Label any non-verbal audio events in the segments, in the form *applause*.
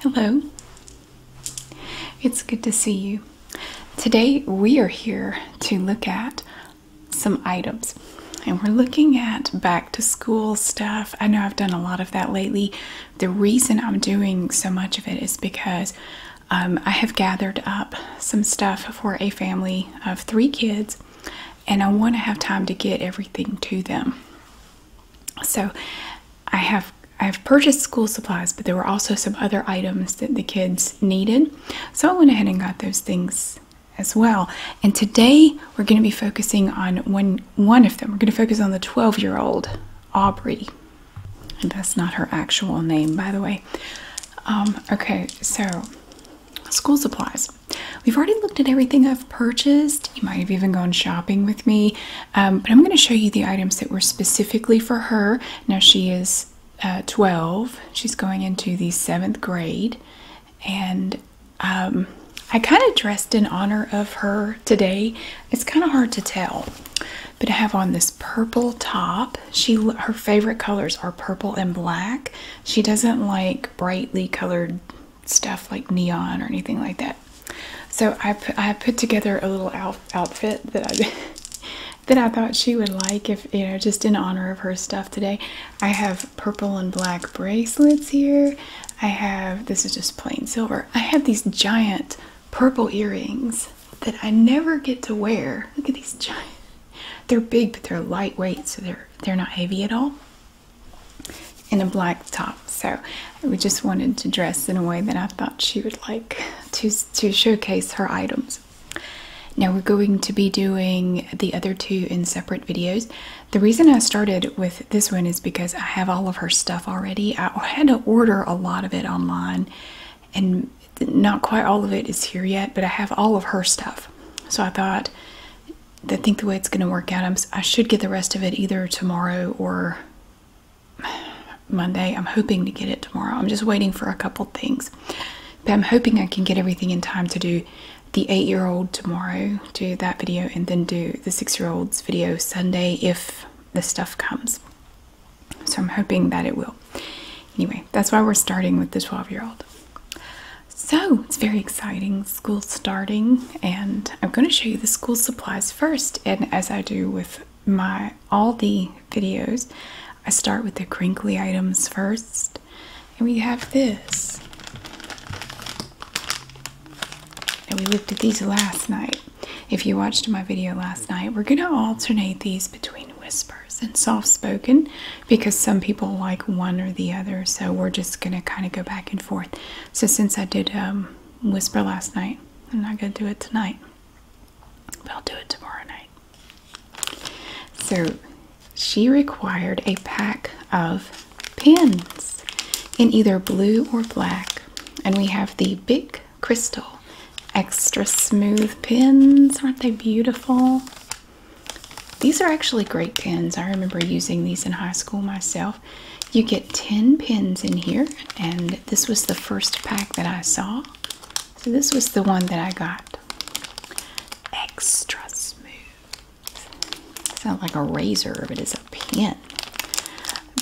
Hello, it's good to see you. Today we are here to look at some items and we're looking at back to school stuff. I know I've done a lot of that lately. The reason I'm doing so much of it is because um, I have gathered up some stuff for a family of three kids and I want to have time to get everything to them. So I have I've purchased school supplies, but there were also some other items that the kids needed. So I went ahead and got those things as well. And today we're going to be focusing on one one of them. We're going to focus on the 12-year-old Aubrey. And that's not her actual name, by the way. Um, okay, so school supplies. We've already looked at everything I've purchased. You might have even gone shopping with me, um, but I'm going to show you the items that were specifically for her. Now, she is uh, 12, she's going into the seventh grade, and um, I kind of dressed in honor of her today. It's kind of hard to tell, but I have on this purple top. She her favorite colors are purple and black. She doesn't like brightly colored stuff like neon or anything like that. So I put, I put together a little outfit that *laughs* that I thought she would like if you know just in honor of her stuff today. I have purple and black bracelets here. I have this is just plain silver. I have these giant purple earrings that I never get to wear. Look at these giant. They're big but they're lightweight so they're they're not heavy at all in a black top. So we just wanted to dress in a way that I thought she would like to to showcase her items. Now we're going to be doing the other two in separate videos. The reason I started with this one is because I have all of her stuff already. I had to order a lot of it online and not quite all of it is here yet, but I have all of her stuff. So I thought I think the way it's going to work out, i I should get the rest of it either tomorrow or Monday. I'm hoping to get it tomorrow. I'm just waiting for a couple things. But I'm hoping I can get everything in time to do the eight year old tomorrow, do that video, and then do the six year old's video Sunday if the stuff comes. So I'm hoping that it will. Anyway, that's why we're starting with the 12 year old. So it's very exciting school starting and I'm going to show you the school supplies first and as I do with my all the videos I start with the crinkly items first and we have this and we looked at these last night if you watched my video last night we're going to alternate these between whispers and soft spoken because some people like one or the other so we're just going to kind of go back and forth so since I did um, whisper last night. I'm not going to do it tonight, but I'll do it tomorrow night. So she required a pack of pins in either blue or black. And we have the Big Crystal extra smooth pins. Aren't they beautiful? These are actually great pins. I remember using these in high school myself. You get 10 pins in here, and this was the first pack that I saw. So, this was the one that I got. Extra smooth. Sounds like a razor, but it's a pin.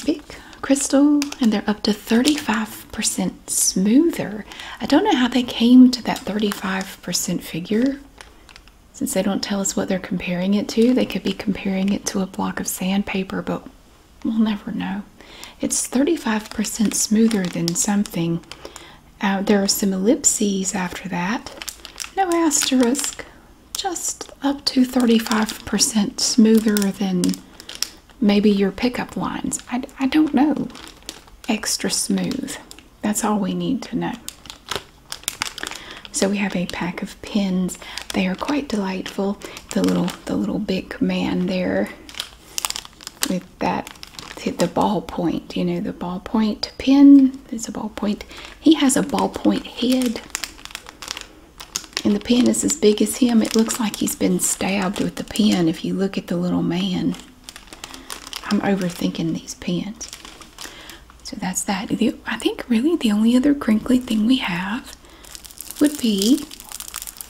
Big crystal, and they're up to 35% smoother. I don't know how they came to that 35% figure. Since they don't tell us what they're comparing it to, they could be comparing it to a block of sandpaper, but we'll never know. It's 35% smoother than something. Uh, there are some ellipses after that. No asterisk. Just up to 35% smoother than maybe your pickup lines. I don't know. Extra smooth. That's all we need to know. So we have a pack of pins. They are quite delightful. The little the little big man there with that the ballpoint, you know, the ballpoint pin. It's a ballpoint. He has a ballpoint head. And the pen is as big as him. It looks like he's been stabbed with the pen if you look at the little man. I'm overthinking these pens. So that's that. I think really the only other crinkly thing we have would be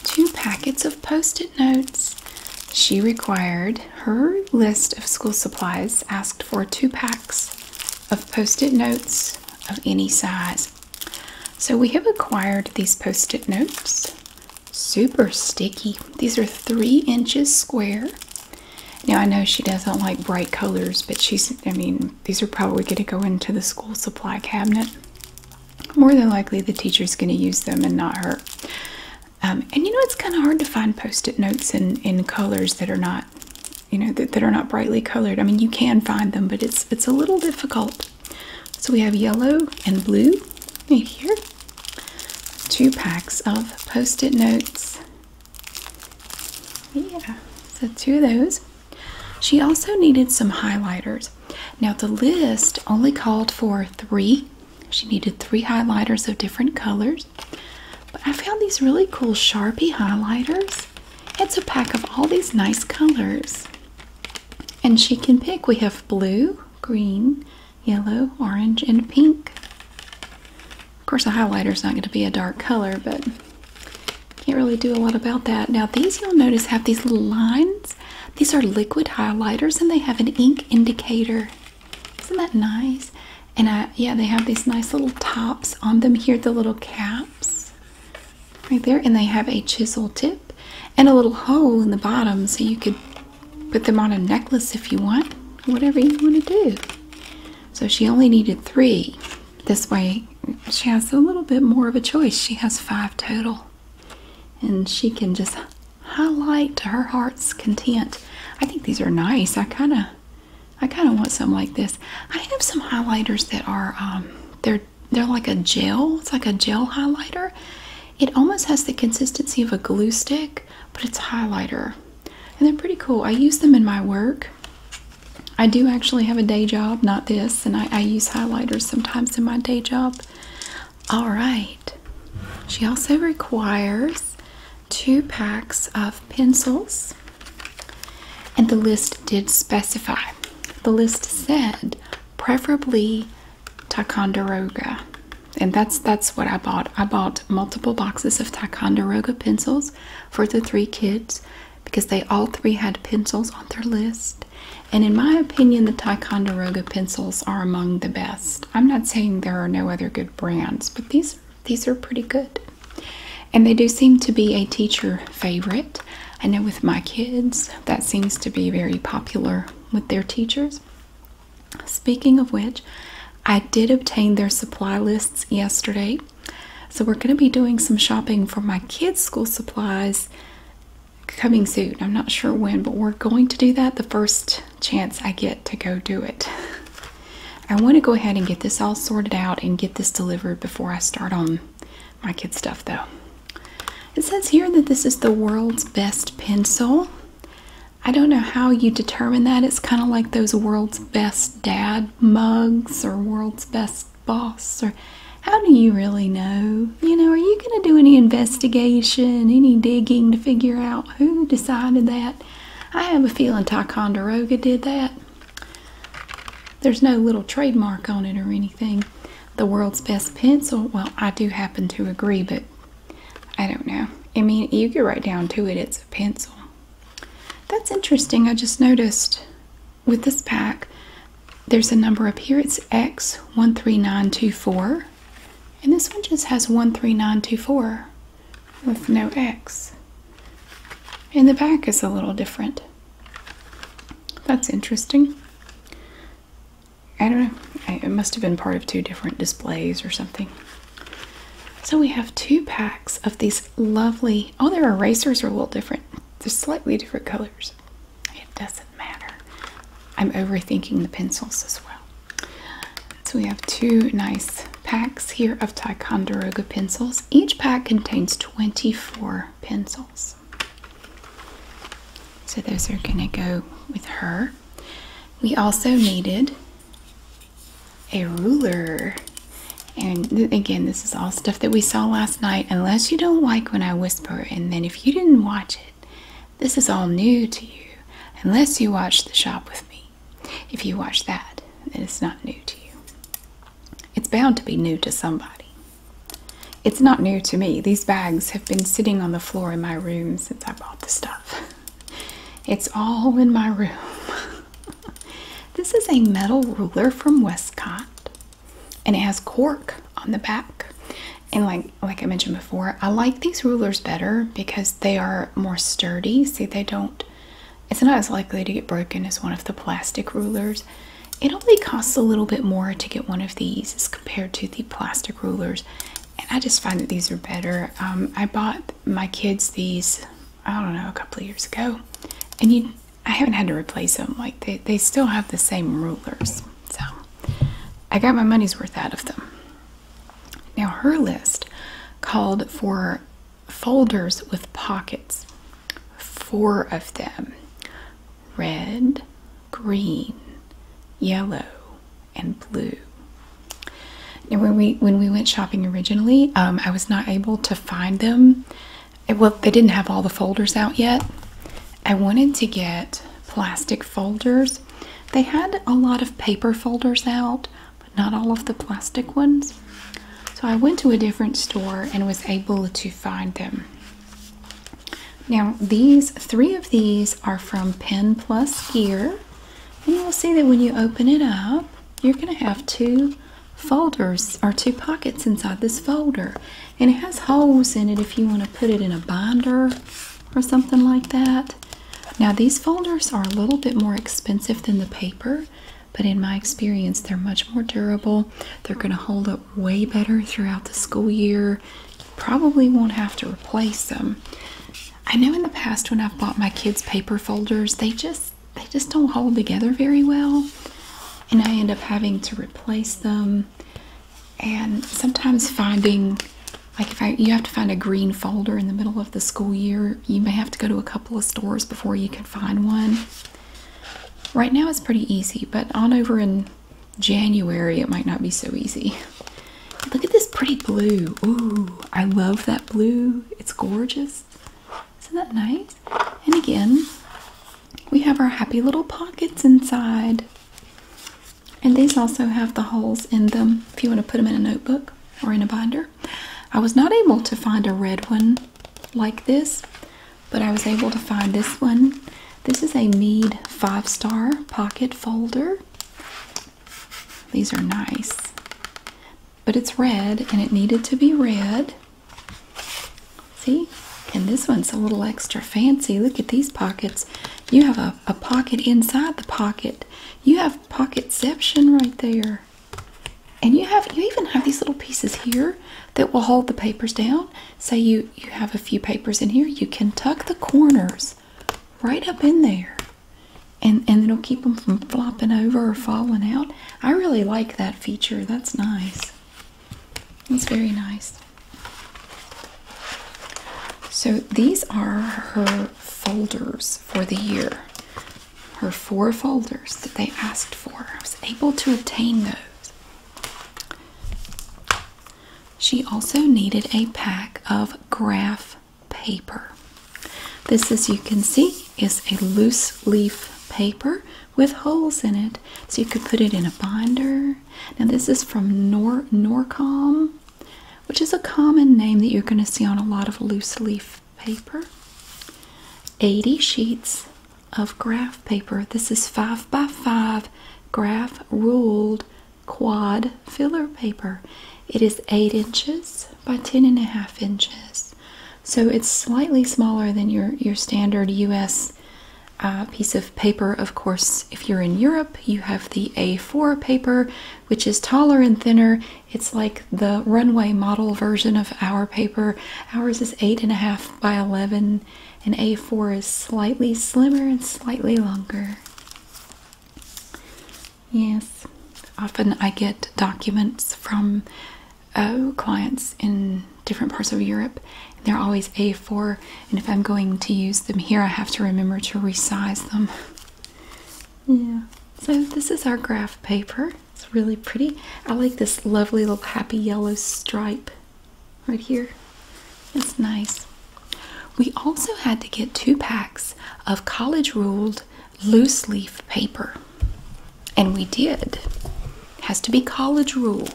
two packets of post-it notes. She required her list of school supplies asked for two packs of post-it notes of any size. So we have acquired these post-it notes. Super sticky. These are three inches square. Now I know she doesn't like bright colors, but she's, I mean, these are probably going to go into the school supply cabinet. More than likely, the teacher is going to use them and not her. Um, and you know, it's kind of hard to find post-it notes in in colors that are not, you know, that, that are not brightly colored. I mean, you can find them, but it's it's a little difficult. So we have yellow and blue right here. Two packs of post-it notes yeah, so two of those. She also needed some highlighters. Now, the list only called for three. She needed three highlighters of different colors. But I found these really cool Sharpie highlighters. It's a pack of all these nice colors. And she can pick. We have blue, green, yellow, orange, and pink. Of course, a highlighter is not going to be a dark color, but can't really do a lot about that. Now these you'll notice have these little lines. These are liquid highlighters and they have an ink indicator. Isn't that nice? And I, yeah, they have these nice little tops on them here, the little caps right there. And they have a chisel tip and a little hole in the bottom so you could put them on a necklace if you want, whatever you want to do. So she only needed three. This way, she has a little bit more of a choice. She has five total, and she can just highlight to her heart's content. I think these are nice. I kind of, I kind of want some like this. I have some highlighters that are, um, they're they're like a gel. It's like a gel highlighter. It almost has the consistency of a glue stick, but it's a highlighter, and they're pretty cool. I use them in my work. I do actually have a day job, not this, and I, use highlighters sometimes in my day job. All right. She also requires two packs of pencils, and the list did specify. The list said preferably Ticonderoga, and that's that's what I bought. I bought multiple boxes of Ticonderoga pencils for the three kids because they all three had pencils on their list. And in my opinion, the Ticonderoga pencils are among the best. I'm not saying there are no other good brands, but these these are pretty good. And they do seem to be a teacher favorite. I know with my kids, that seems to be very popular with their teachers. Speaking of which, I did obtain their supply lists yesterday so we're going to be doing some shopping for my kids' school supplies coming soon. I'm not sure when, but we're going to do that the first chance I get to go do it. I want to go ahead and get this all sorted out and get this delivered before I start on my kids' stuff though. It says here that this is the world's best pencil. I don't know how you determine that. It's kind of like those world's best dad mugs or world's best boss or how do you really know? You know, are you going to do any investigation, any digging to figure out who decided that? I have a feeling Ticonderoga did that. There's no little trademark on it or anything. The world's best pencil, well, I do happen to agree, but I don't know. I mean, you get right down to it, it's a pencil. That's interesting. I just noticed with this pack, there's a number up here. It's X13924. And this one just has 13924 with no X. And the back is a little different. That's interesting. I don't know. It must have been part of two different displays or something. So we have two packs of these lovely. Oh, their erasers are a little different. They're slightly different colors. It doesn't matter. I'm overthinking the pencils as well. So we have two nice packs here of Ticonderoga pencils. Each pack contains 24 pencils. So those are going to go with her. We also needed a ruler. And again, this is all stuff that we saw last night, unless you don't like when I whisper, and then if you didn't watch it, this is all new to you, unless you watch The Shop with Me. If you watch that, it's not new to you. It's bound to be new to somebody. It's not new to me. These bags have been sitting on the floor in my room since I bought the stuff. *laughs* It's all in my room. *laughs* *laughs* this is a metal ruler from Westcott and it has cork on the back. And like like I mentioned before, I like these rulers better because they are more sturdy. See, they don't it's not as likely to get broken as one of the plastic rulers. It only costs a little bit more to get one of these as compared to the plastic rulers. And I just find that these are better. Um, I bought my kids these, I don't know, a couple of years ago. And you I haven't had to replace them. Like they, they still have the same rulers. So I got my money's worth out of them. Now her list called for folders with pockets. Four of them. Red, green, yellow, and blue. Now when we when we went shopping originally, um, I was not able to find them well, they didn't have all the folders out yet. I wanted to get plastic folders. They had a lot of paper folders out, but not all of the plastic ones. So I went to a different store and was able to find them. Now, these three of these are from Pen Plus Gear, and you'll see that when you open it up, you're going to have two folders are two pockets inside this folder and it has holes in it if you want to put it in a binder or something like that now these folders are a little bit more expensive than the paper but in my experience they're much more durable they're going to hold up way better throughout the school year probably won't have to replace them i know in the past when i've bought my kids paper folders they just they just don't hold together very well and I end up having to replace them and sometimes finding like if you have to find a green folder in the middle of the school year you may have to go to a couple of stores before you can find one right now it's pretty easy but on over in January it might not be so easy look at this pretty blue ooh I love that blue it's gorgeous isn't that nice? And again, we have our happy little pockets inside. And these also have the holes in them if you want to put them in a notebook or in a binder. I was not able to find a red one like this, but I was able to find this one. This is a Mead five star pocket folder. These are nice but it's red and it needed to be red. See? And this one's a little extra fancy. Look at these pockets. You have a, pocket inside the pocket. You have pocketception right there. And you have you even have these little pieces here that will hold the papers down. Say you, you have a few papers in here. You can tuck the corners right up in there. And, and it'll keep them from flopping over or falling out. I really like that feature. That's nice. That's very nice. So these are her folders for the year. Her four folders that they asked for. I was able to obtain those. She also needed a pack of graph paper. This, as you can see, is a loose leaf paper with holes in it. So you could put it in a binder. Now this is from Nor Norcom, which is a common name that you're going to see on a lot of loose leaf paper. 80 sheets of graph paper. This is 5 by 5 graph ruled quad filler paper. It is 8 inches by 10 and a half inches. So it's slightly smaller than your, your standard US uh, piece of paper. Of course, if you're in Europe, you have the A4 paper, which is taller and thinner. It's like the runway model version of our paper. Ours is 8.5 by 11, and A4 is slightly slimmer and slightly longer. Yes, often I get documents from uh, clients in different parts of Europe. They're always A4, and if I'm going to use them here, I have to remember to resize them. yeah, so this is our graph paper. It's really pretty. I like this lovely little happy yellow stripe right here. It's nice. We also had to get two packs of college ruled loose leaf paper. And we did. Has to be college rule.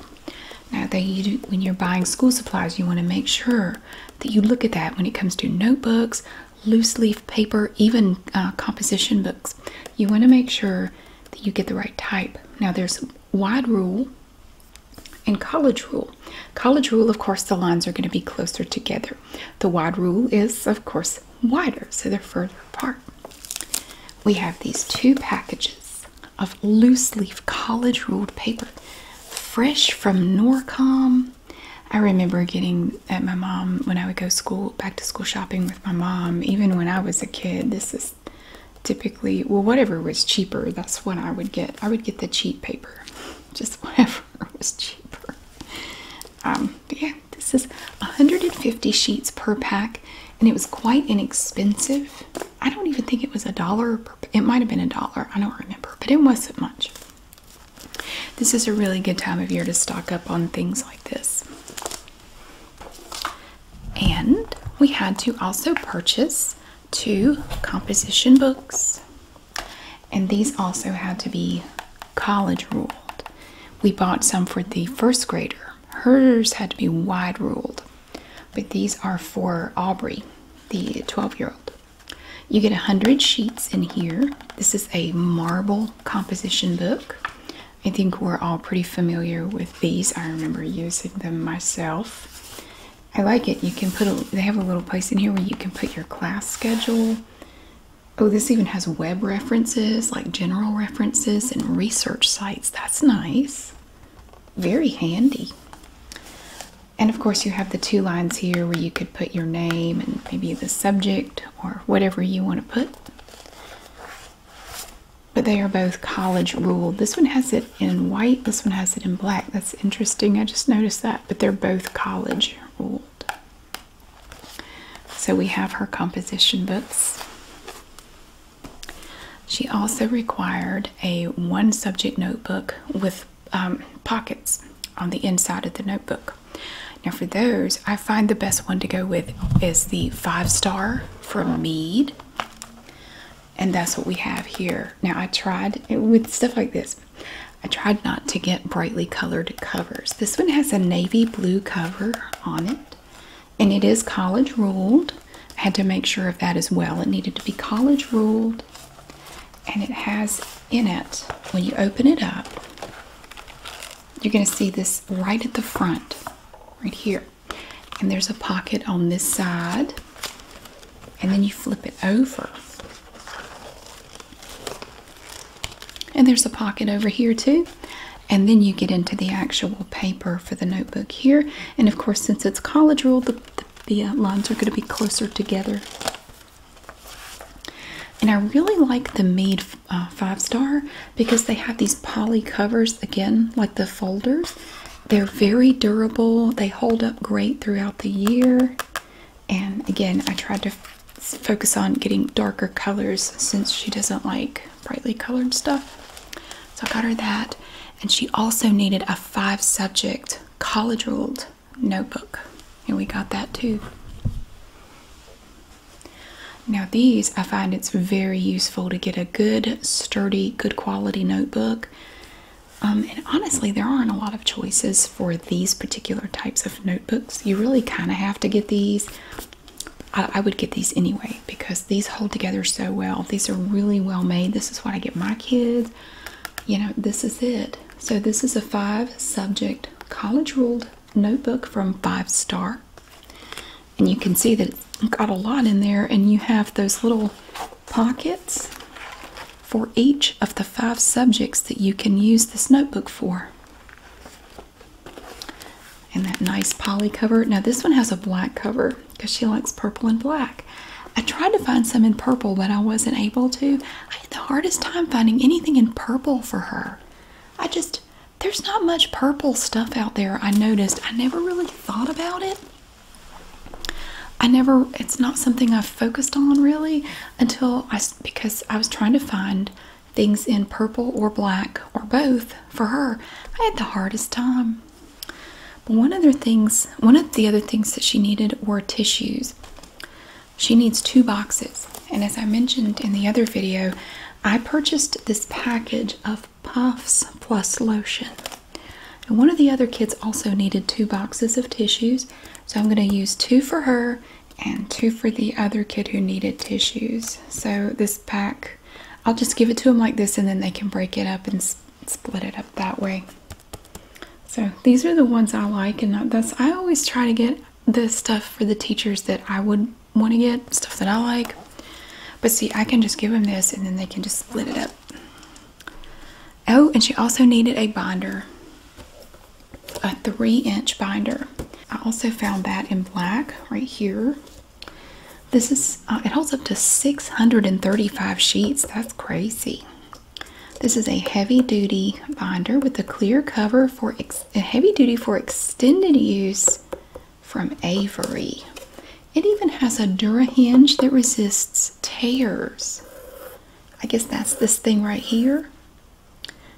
Now that you do, when you're buying school supplies, you want to make sure that you look at that when it comes to notebooks, loose leaf paper, even uh, composition books. You want to make sure that you get the right type. Now there's wide rule and college rule. College rule, of course, the lines are going to be closer together. The wide rule is, of course, wider, so they're further apart. We have these two packages of loose leaf college ruled paper, fresh from Norcom. I remember getting at my mom when I would go school back to school shopping with my mom, even when I was a kid. This is typically, well, whatever was cheaper, that's what I would get. I would get the cheap paper, *laughs* just whatever *laughs* was cheaper. Um, yeah, this is 150 sheets per pack, and it was quite inexpensive. I don't even think it was a dollar. it might have been a dollar. I don't remember, but it wasn't much. This is a really good time of year to stock up on things like this. And we had to also purchase two composition books. And these also had to be college ruled. We bought some for the first grader Hers had to be wide ruled, but these are for Aubrey, the 12 year old. You get 100 sheets in here. This is a marble composition book. I think we're all pretty familiar with these. I remember using them myself. I like it. You can put they have a little place in here where you can put your class schedule. Oh, this even has web references, like general references and research sites. That's nice. Very handy. And of course, you have the two lines here where you could put your name and maybe the subject or whatever you want to put. But they are both college ruled. This one has it in white, this one has it in black. That's interesting. I just noticed that. But they're both college ruled. So we have her composition books. She also required a one subject notebook with um, pockets on the inside of the notebook. Now, for those, I find the best one to go with is the five star from Mead. And that's what we have here. Now, I tried eh, with stuff like this, I tried not to get brightly colored covers. This one has a navy blue cover on it and it is college ruled. I had to make sure of that as well. It needed to be college ruled, and it has in it, when you open it up, you're going to see this right at the front, right here. And there's a pocket on this side, and then you flip it over. And there's a pocket over here, too and then you get into the actual paper for the notebook here and of course since it's college rule the, the, uh, lines are going to be closer together and i really like the mead uh, five star because they have these poly covers again like the folders they're very durable they hold up great throughout the year and again i tried to focus on getting darker colors since she doesn't like brightly colored stuff. So I got her that. And she also needed a five subject college ruled notebook. And we got that too. Now, these I find it's very useful to get a good, sturdy, good quality notebook. Um, and honestly, there aren't a lot of choices for these particular types of notebooks. You really kind of have to get these I, would get these anyway because these hold together so well. These are really well made. This is what I get my kids. You know, this is it. So, this is a five subject college ruled notebook from Five Star. And you can see that it's got a lot in there, and you have those little pockets for each of the five subjects that you can use this notebook for. And that nice poly cover. Now this one has a black cover because she likes purple and black. I tried to find some in purple, but I wasn't able to. I had the hardest time finding anything in purple for her. I just, there's not much purple stuff out there, I noticed. I never really thought about it. I never, it's not something I focused on really until I, because I was trying to find things in purple or black or both for her. I had the hardest time. But one other things, one of the other things that she needed were tissues. She needs two boxes. And as I mentioned in the other video, I purchased this package of puffs plus lotion. And one of the other kids also needed two boxes of tissues. So I'm going to use two for her and two for the other kid who needed tissues. So this pack I'll just give it to them like this and then they can break it up and split it up that way. So these are the ones I like and that's I always try to get the stuff for the teachers that I would want to get, stuff that I like. But see, I can just give them this and then they can just split it up. Oh, and she also needed a binder, a three inch binder. I also found that in black right here. This is, uh, it holds up to 635 sheets. That's crazy. This is a heavy duty binder with a clear cover for a heavy duty for extended use from Avery. It even has a Dura hinge that resists tears. I guess that's this thing right here.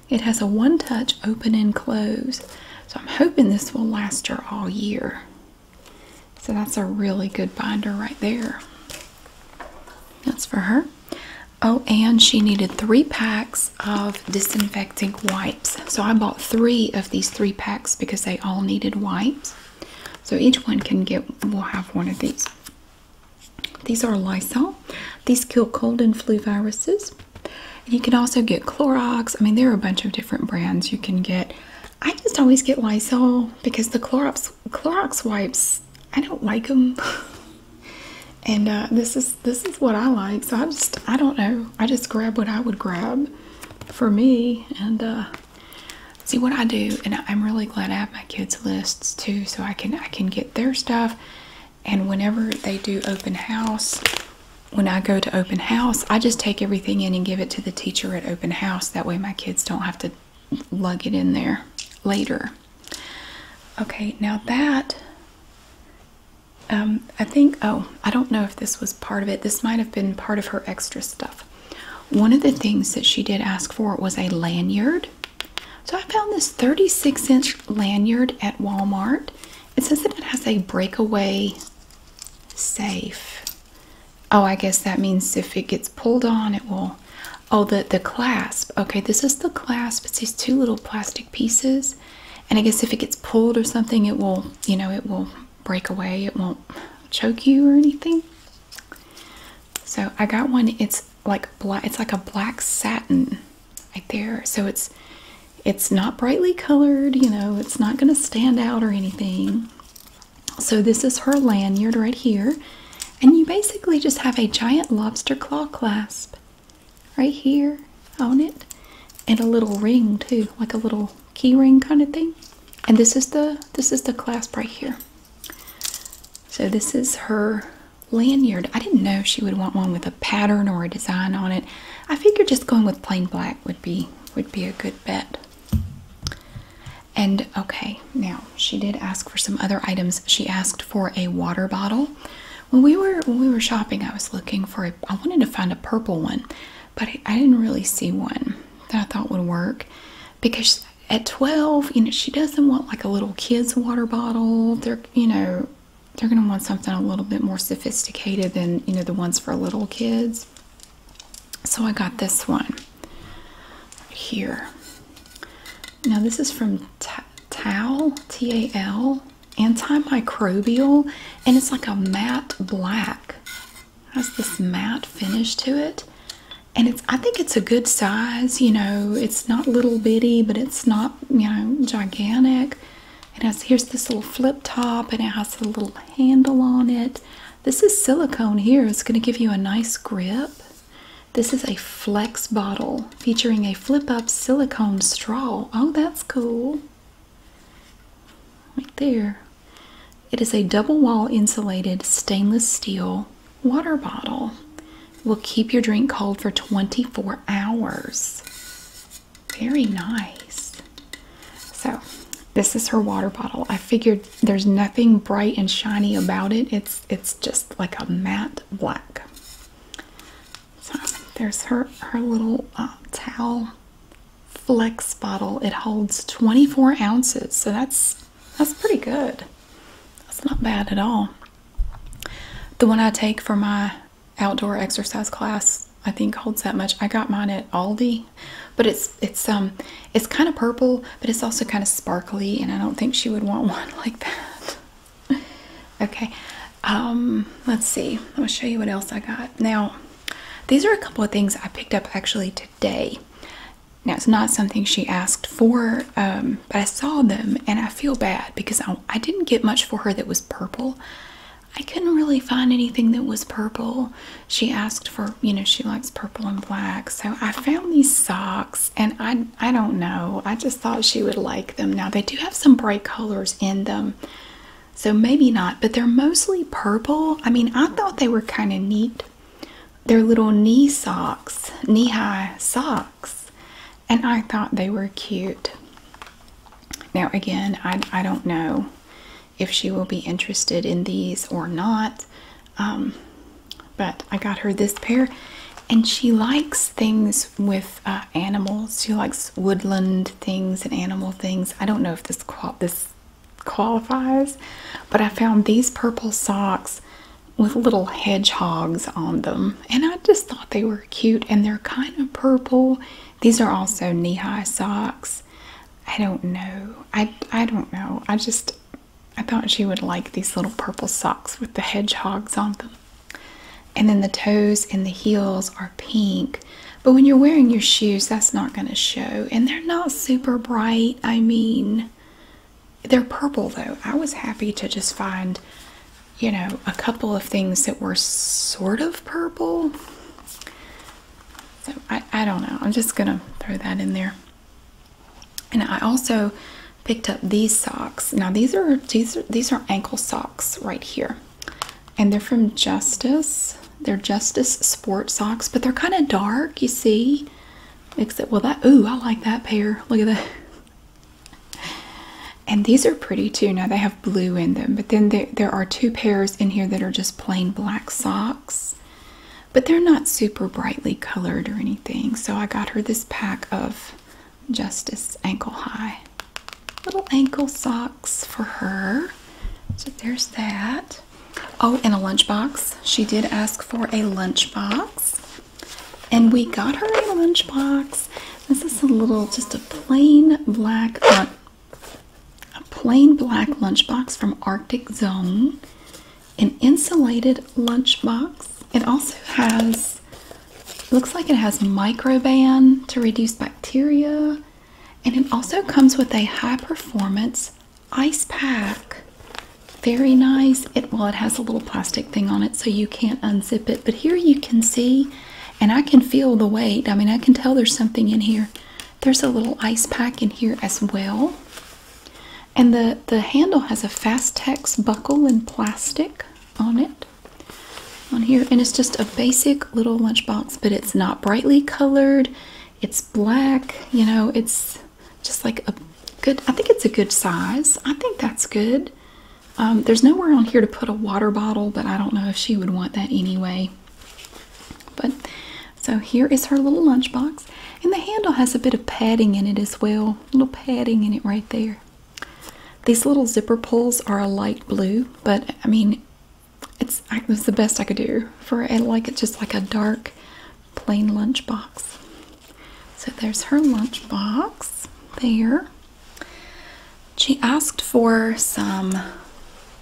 It has a one touch open and close. So I'm hoping this will last her all year. So that's a really good binder right there. That's for her. Oh, and she needed three packs of disinfecting wipes. So I bought three of these three packs because they all needed wipes. So each one can get, will have one of these. These are Lysol. These kill cold and flu viruses you can also get Clorox. I mean, there are a bunch of different brands you can get. I just always get Lysol because the Clorox Clorox wipes, I don't like them. *laughs* and uh, this is this is what I like. So I just I don't know. I just grab what I would grab for me and uh, see what I do. And I'm really glad I have my kids' lists too, so I can I can get their stuff. And whenever they do open house, when I go to open house, I just take everything in and give it to the teacher at open house. That way my kids don't have to lug it in there later. Okay, now that, um, I think, oh, I don't know if this was part of it. This might have been part of her extra stuff. One of the things that she did ask for was a lanyard. So I found this 36 inch lanyard at Walmart. It says that it has a breakaway safe. Oh, I guess that means if it gets pulled on, it will. Oh, the, the clasp. Okay, this is the clasp. It's these two little plastic pieces. And I guess if it gets pulled or something, it will, you know, it will break away. It won't choke you or anything. So I got one. It's like black. It's like a black satin right there. So it's it's not brightly colored, you know, it's not going to stand out or anything. So this is her lanyard right here. And you basically just have a giant lobster claw clasp right here on it and a little ring too, like a little key ring kind of thing. And this is the this is the clasp right here. So this is her lanyard. I didn't know she would want one with a pattern or a design on it. I figured just going with plain black would be would be a good bet. And okay, now she did ask for some other items. She asked for a water bottle. When we were when we were shopping, I was looking for a I wanted to find a purple one, but I, I didn't really see one that I thought would work because at 12, you know, she doesn't want like a little kid's water bottle. They're, you know, they're going to want something a little bit more sophisticated than you know the ones for little kids. So I got this one here. Now this is from Tal T A L antimicrobial, and it's like a matte black. has this matte finish to it, and it's I think it's a good size. You know, it's not little bitty, but it's not you know gigantic. It has here's this little flip top and it has a little handle on it. This is silicone here. It's going to give you a nice grip. This is a flex bottle featuring a flip up silicone straw. Oh, that's cool. Right there. It is a double wall insulated stainless steel water bottle. Will keep your drink cold for 24 hours. Very nice. So, this is her water bottle. I figured there's nothing bright and shiny about it. It's it's just like a matte black. So, there's her her little um, towel flex bottle. It holds 24 ounces. So that's that's pretty good. That's not bad at all. The one I take for my outdoor exercise class I think holds that much. I got mine at Aldi, but it's it's um it's kind of purple, but it's also kind of sparkly, and I don't think she would want *laughs* one like that. okay, um, let's see. I'll show you what else I got. Now, these are a couple of things I picked up actually today. Now it's not something she asked for, um, but I saw them and I feel bad because I, I didn't get much for her that was purple. I couldn't really find anything that was purple. She asked for, you know, she likes purple and black. So I found these socks and I I don't know. I just thought she would like them. Now they do have some bright colors in them. So maybe not, but they're mostly purple. I mean, I thought they were kind of neat. They're little knee socks, knee-high socks. And I thought they were cute. Now, again, I, don't know if she will be interested in these or not, um, but I got her this pair, and she likes things with uh, animals. She likes woodland things and animal things. I don't know if this this qualifies, but I found these purple socks with little hedgehogs on them, and I just thought they were cute, and they're kind of purple these are also knee-high socks. I don't know. I I don't know. I just I thought she would like these little purple socks with the hedgehogs on them. And then the toes and the heels are pink. But when you're wearing your shoes, that's not going to show. And they're not super bright. I mean, they're purple though. I was happy to just find, you know, a couple of things that were sort of purple. So I, I don't know. I'm just going to throw that in there. And I also picked up these socks. Now these are these are these are ankle socks right here. And they're from Justice. They're Justice Sport socks, but they're kind of dark, you see. Except well that ooh, I like that pair. Look at that. And these are pretty too. Now they have blue in them, but then there, are two pairs in here that are just plain black socks. But they're not super brightly colored or anything. So I got her this pack of Justice Ankle High little ankle socks for her. So there's that. Oh, and a lunchbox. She did ask for a lunchbox. And we got her a lunchbox. This is a little, just a plain black uh, a plain black lunchbox from Arctic Zone, an insulated lunchbox. It also has, looks like it has microban to reduce bacteria, and it also comes with a high performance ice pack. Very nice. It well, it has a little plastic thing on it, so you can't unzip it. But here you can see and I can feel the weight. I mean, I can tell there's something in here. There's a little ice pack in here as well. And the, the handle has a Fastex buckle and plastic on it. On here, and it's just a basic little lunchbox, but it's not brightly colored. It's black, you know, it's just like a good, I think it's a good size. I think that's good. Um, there's nowhere on here to put a water bottle, but I don't know if she would want that anyway. But so here is her little lunchbox, and the handle has a bit of padding in it as well. little padding in it right there. These little zipper pulls are a light blue, but I mean, it's it was the best I could do for it. Like it's just like a dark, plain lunchbox. So there's her lunchbox there. She asked for some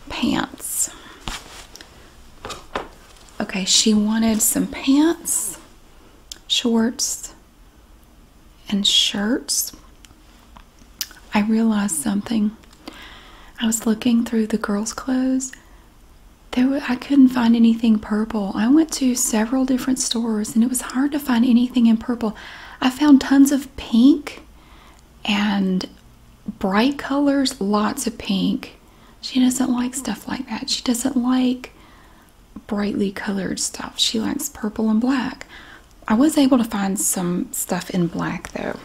pants. Okay, she wanted some pants, shorts, and shirts. I realized something. I was looking through the girls' clothes. There I couldn't find anything purple. I went to several different stores and it was hard to find anything in purple. I found tons of pink and bright colors, lots of pink. She doesn't like stuff like that. She doesn't like brightly colored stuff. She likes purple and black. I was able to find some stuff in black though.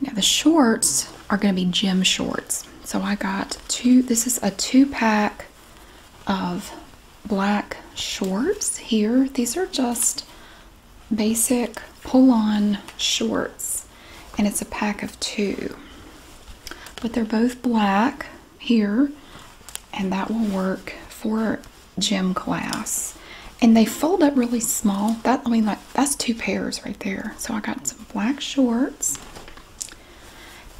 Now the shorts are going to be gym shorts. So I got two, this is a two pack of black shorts here. These are just basic pull-on shorts and it's a pack of two but they're both black here and that will work for gym class and they fold up really small that I mean like that's two pairs right there so I got some black shorts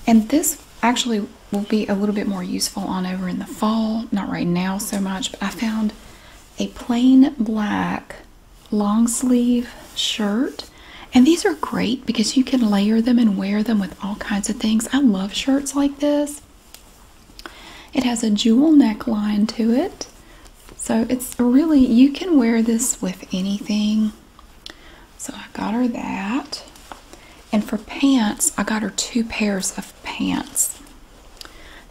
and this actually will be a little bit more useful on over in the fall not right now so much but I found a plain black long sleeve shirt. And these are great because you can layer them and wear them with all kinds of things. I love shirts like this. It has a jewel neckline to it. So it's really, you can wear this with anything. So I got her that. And for pants, I got her two pairs of pants.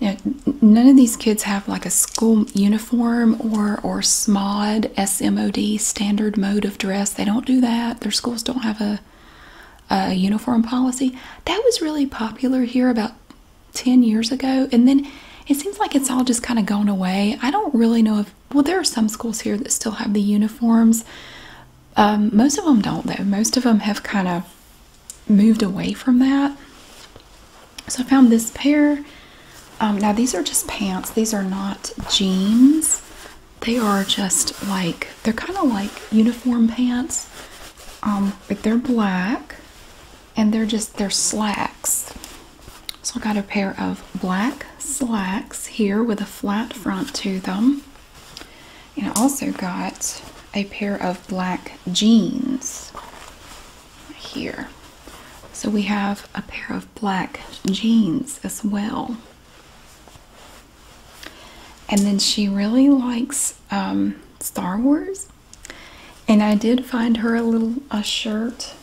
Now, none of these kids have like a school uniform or or SMOD, SMOD, standard mode of dress. They don't do that. Their schools don't have a, a uniform policy. That was really popular here about 10 years ago. And then it seems like it's all just kind of gone away. I don't really know if, well, there are some schools here that still have the uniforms. Um, most of them don't, though. Most of them have kind of moved away from that. So I found this pair. Um, now these are just pants. These are not jeans. They are just like they're kind of like uniform pants. Um, they're black, and they're just they're slacks. So I got a pair of black slacks here with a flat front to them. And I also got a pair of black jeans here. So we have a pair of black jeans as well. And then she really likes um, Star Wars. And I did find her a little a shirt.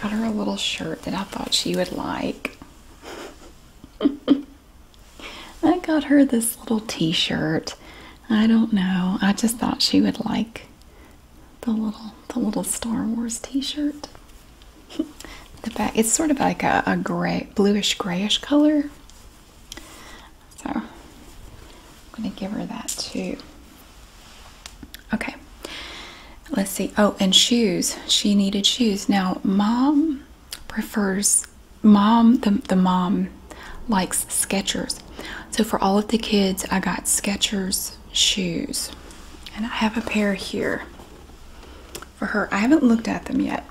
Got her a little shirt that I thought she would like. *laughs* I got her this little t-shirt. I don't know. I just thought she would like the little the little Star Wars t-shirt. *laughs* the back it's sort of like a, a gray bluish grayish color. So I'm gonna give her that too. Okay. Let's see. Oh, and shoes. She needed shoes. Now, mom prefers mom the, mom likes Skechers. So for all of the kids I got Skechers shoes. And I have a pair here for her. I haven't looked at them yet.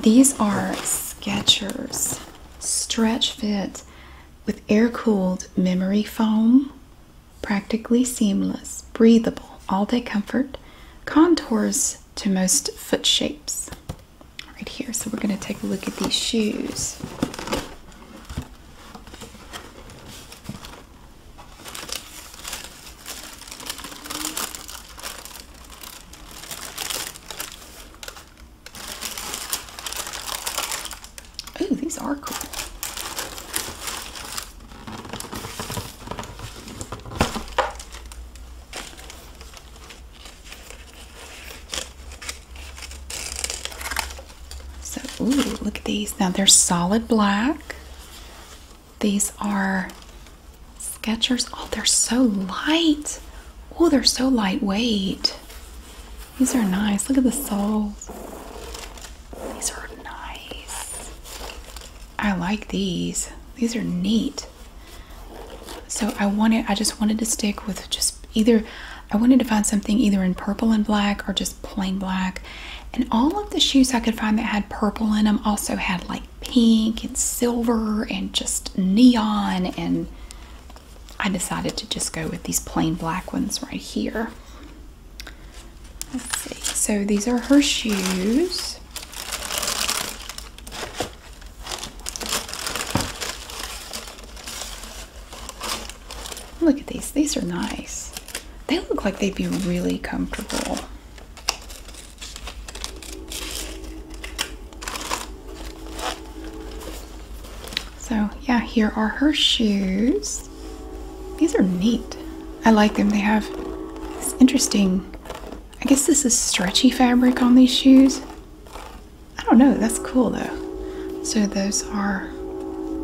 These are Skechers stretch fit with air-cooled memory foam, practically seamless, breathable, all-day comfort, contours to most foot shapes right here. So we're going to take a look at these shoes. Ooh, these are cool. So, ooh, look at these. Now they're solid black. These are Sketchers. Oh, they're so light. Oh, they're so lightweight. These are nice. Look at the soles. These are nice. I like these. These are neat. So I wanted I just wanted to stick with just either I wanted to find something either in purple and black or just plain black. And all of the shoes I could find that had purple in them also had like pink and silver and just neon and I decided to just go with these plain black ones right here. So these are her shoes. Look at these. These are nice. They look like they'd be really comfortable. So, yeah, here are her shoes. These are neat. I like them. They have this interesting, I guess this is stretchy fabric on these shoes. I don't know. That's cool though. So those are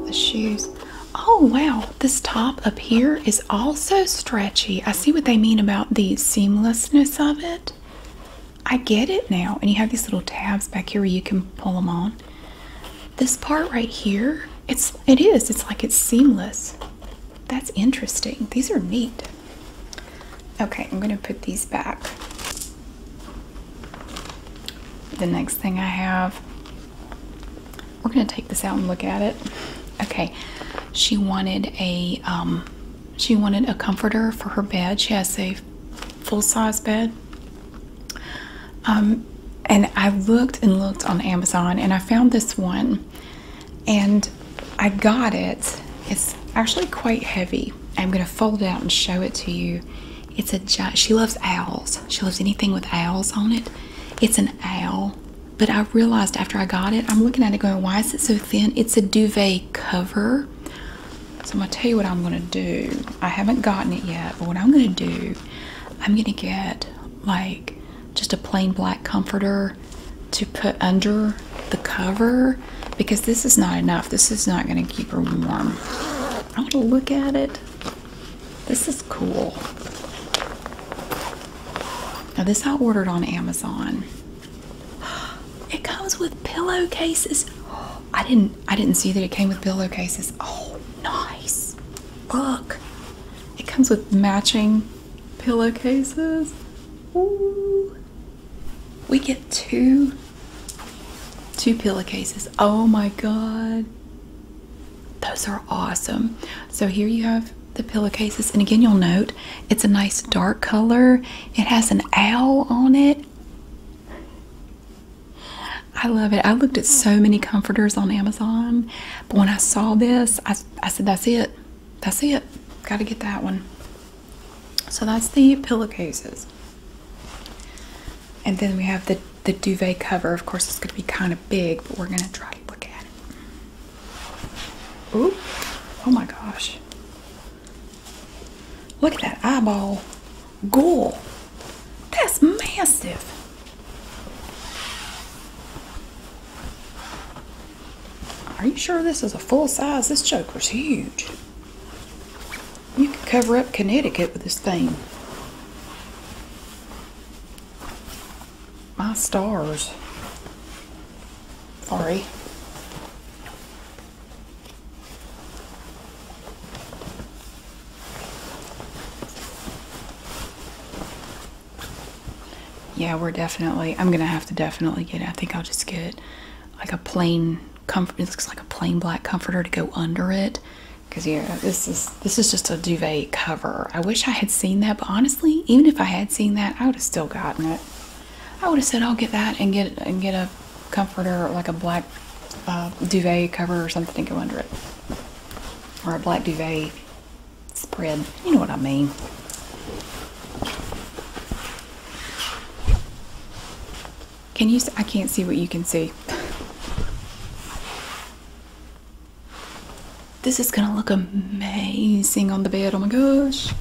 the shoes. Oh wow, this top up here is also stretchy. I see what they mean about the seamlessness of it. I get it now. And you have these little tabs back here where you can pull them on. This part right here, it's it is. It's like it's seamless. That's interesting. These are neat. Okay, I'm gonna put these back. The next thing I have, we're gonna take this out and look at it. Okay, she wanted a um, she wanted a comforter for her bed. She has a full-size bed. Um, and I looked and looked on Amazon and I found this one and I got it. It's actually quite heavy. I'm gonna fold it out and show it to you. It's a giant, she loves owls. She loves anything with owls on it. It's an owl, but I realized after I got it, I'm looking at it going, why is it so thin? It's a duvet cover. So I'm gonna tell you what I'm gonna do. I haven't gotten it yet, but what I'm gonna do, I'm gonna get like just a plain black comforter to put under the cover because this is not enough. This is not going to keep her warm. I want to look at it. This is cool. Now, this I ordered on Amazon. It comes with pillowcases. I didn't I didn't see that it came with pillowcases. Oh, nice. Look. It comes with matching pillowcases. Ooh. We get two two pillowcases. Oh my god. Those are awesome. So here you have the pillowcases and again you'll note it's a nice dark color. It has an owl on it. I love it. I looked at so many comforters on Amazon, but when I saw this, I, I said, that's it. That's it. Got to get that one. So that's the pillowcases. And then we have the the duvet cover. Of course, it's going to be kind of big, but we're going to try to look at it. Ooh. Oh my gosh. Look at that eyeball. Ghoul. That's massive. Are you sure this is a full size? This joker's huge. You could cover up Connecticut with this thing. My stars. Sorry. Yeah, we're definitely, I'm going to have to definitely get it. I think I'll just get like a plain comfort. It looks like a plain black comforter to go under it. Cause yeah, this is this is just a duvet cover. I wish I had seen that, but honestly, even if I had seen that, I would have still gotten it. I would have said I'll get that and get and get a comforter like a black uh, duvet cover or something to go under it, or a black duvet spread. You know what I mean. Can you? I can't see what you can see. This is gonna look amazing on the bed. Oh my gosh.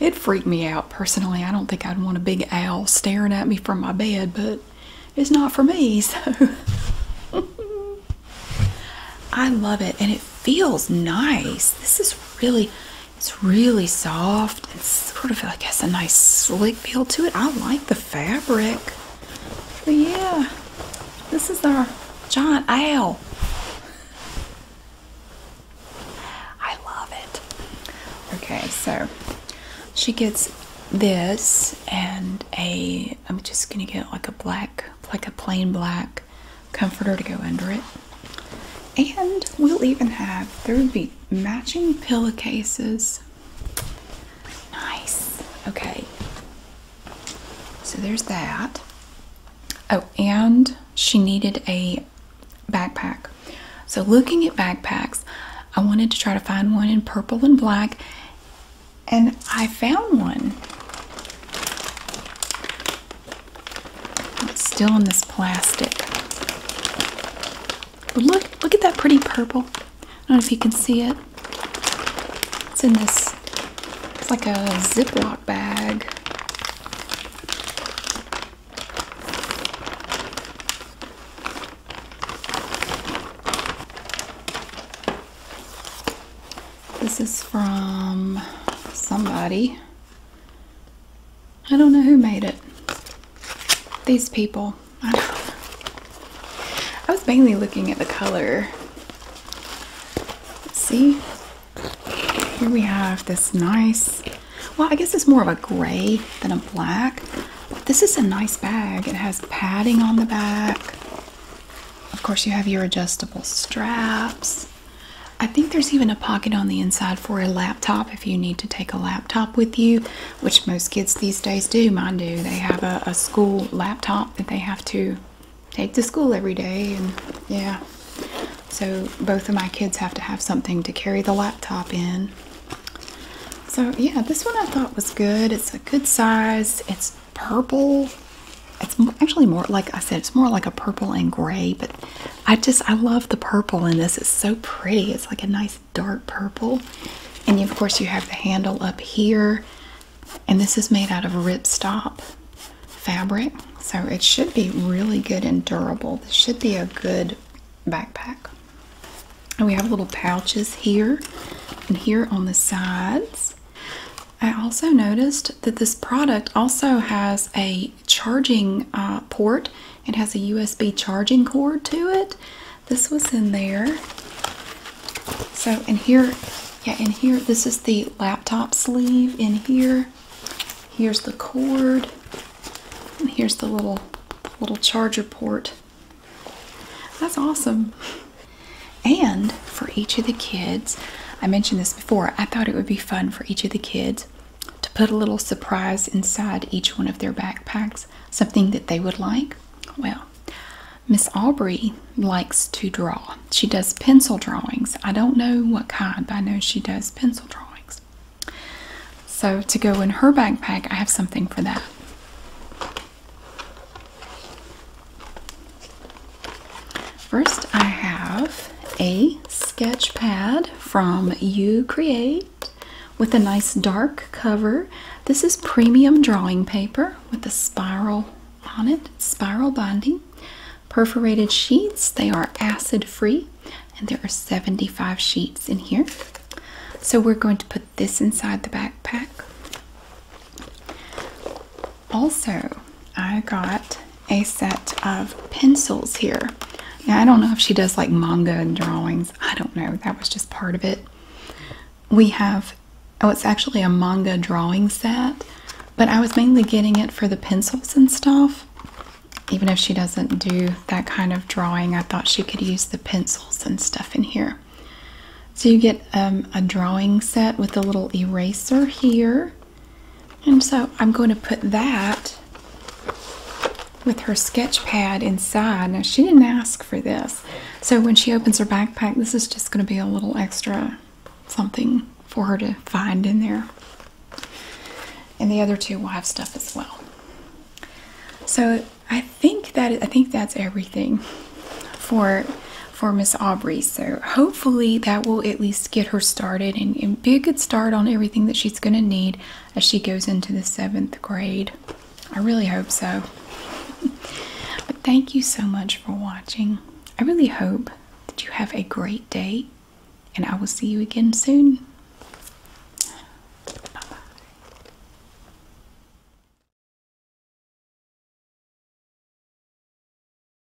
It freaked me out personally. I don't think I'd want a big owl staring at me from my bed, but it's not for me, so. *laughs* I love it, and it feels nice. This is really, it's really soft and sort of, like has a nice slick feel to it. I like the fabric. yeah, this is our giant owl. I love it. Okay, so she gets this and a, I'm just gonna get like a black, like a plain black comforter to go under it. And we'll even have there would be matching pillowcases. Nice. Okay. So there's that. Oh, and she needed a backpack. So looking at backpacks, I wanted to try to find one in purple and black, and I found one. It's still in this plastic. But look, look at that pretty purple. I don't know if you can see it. It's in this, it's like a Ziploc bag. This is from somebody. I don't know who made it. These people. I, was mainly looking at the color. See? Here we have this nice, well, I guess it's more of a gray than a black. this is a nice bag. It has padding on the back. Of course, you have your adjustable straps. I think there's even a pocket on the inside for a laptop if you need to take a laptop with you, which most kids these days do. Mind you, They have a school laptop that they have to take to school every day, and yeah. So both of my kids have to have something to carry the laptop in. So yeah, this one I thought was good. It's a good size. It's purple it's actually more like I said, it's more like a purple and gray, but I just I love the purple in this. It's so pretty. It's like a nice dark purple. And of course you have the handle up here. And this is made out of ripstop fabric. So it should be really good and durable. This should be a good backpack. And we have little pouches here and here on the sides. I also noticed that this product also has a charging uh, port. It has a USB charging cord to it. This was in there. So in here, yeah, in here, this is the laptop sleeve in here. Here's the cord. here's the little little charger port. That's awesome. And for each of the kids, I mentioned this I thought it would be fun for each of the kids to put a little surprise inside each one of their backpacks, something that they would like. Well, Miss Aubrey likes to draw. She does pencil drawings. I don't know what kind, but I know she does pencil drawings. So, to go in her backpack, I have something for that. First, I have a sketch pad from You Create with a nice dark cover. This is premium drawing paper with a spiral on it, spiral binding, perforated sheets. They are acid free, and there are 75 sheets in here. So, we're going to put this inside the backpack. Also, I got a set of pencils here. Now, I don't know if she does like manga and drawings. I don't know. That was just part of it. We have, oh, it's actually a manga drawing set, but I was mainly getting it for the pencils and stuff. Even if she doesn't do that kind of drawing, I thought she could use the pencils and stuff in here. So you get um, a drawing set with a little eraser here. And so I'm going to put that with her sketch pad inside. Now, she didn't ask for this. So when she opens her backpack, this is just going to be a little extra something for her to find in there. And the other two will have stuff as well. So I think that I think that's everything for for Miss Aubrey. So hopefully that will at least get her started and, be a good start on everything that she's going to need as she goes into the seventh grade. I really hope so. *laughs* but thank you so much for watching. I really hope that you have a great day and I will see you again soon. bye.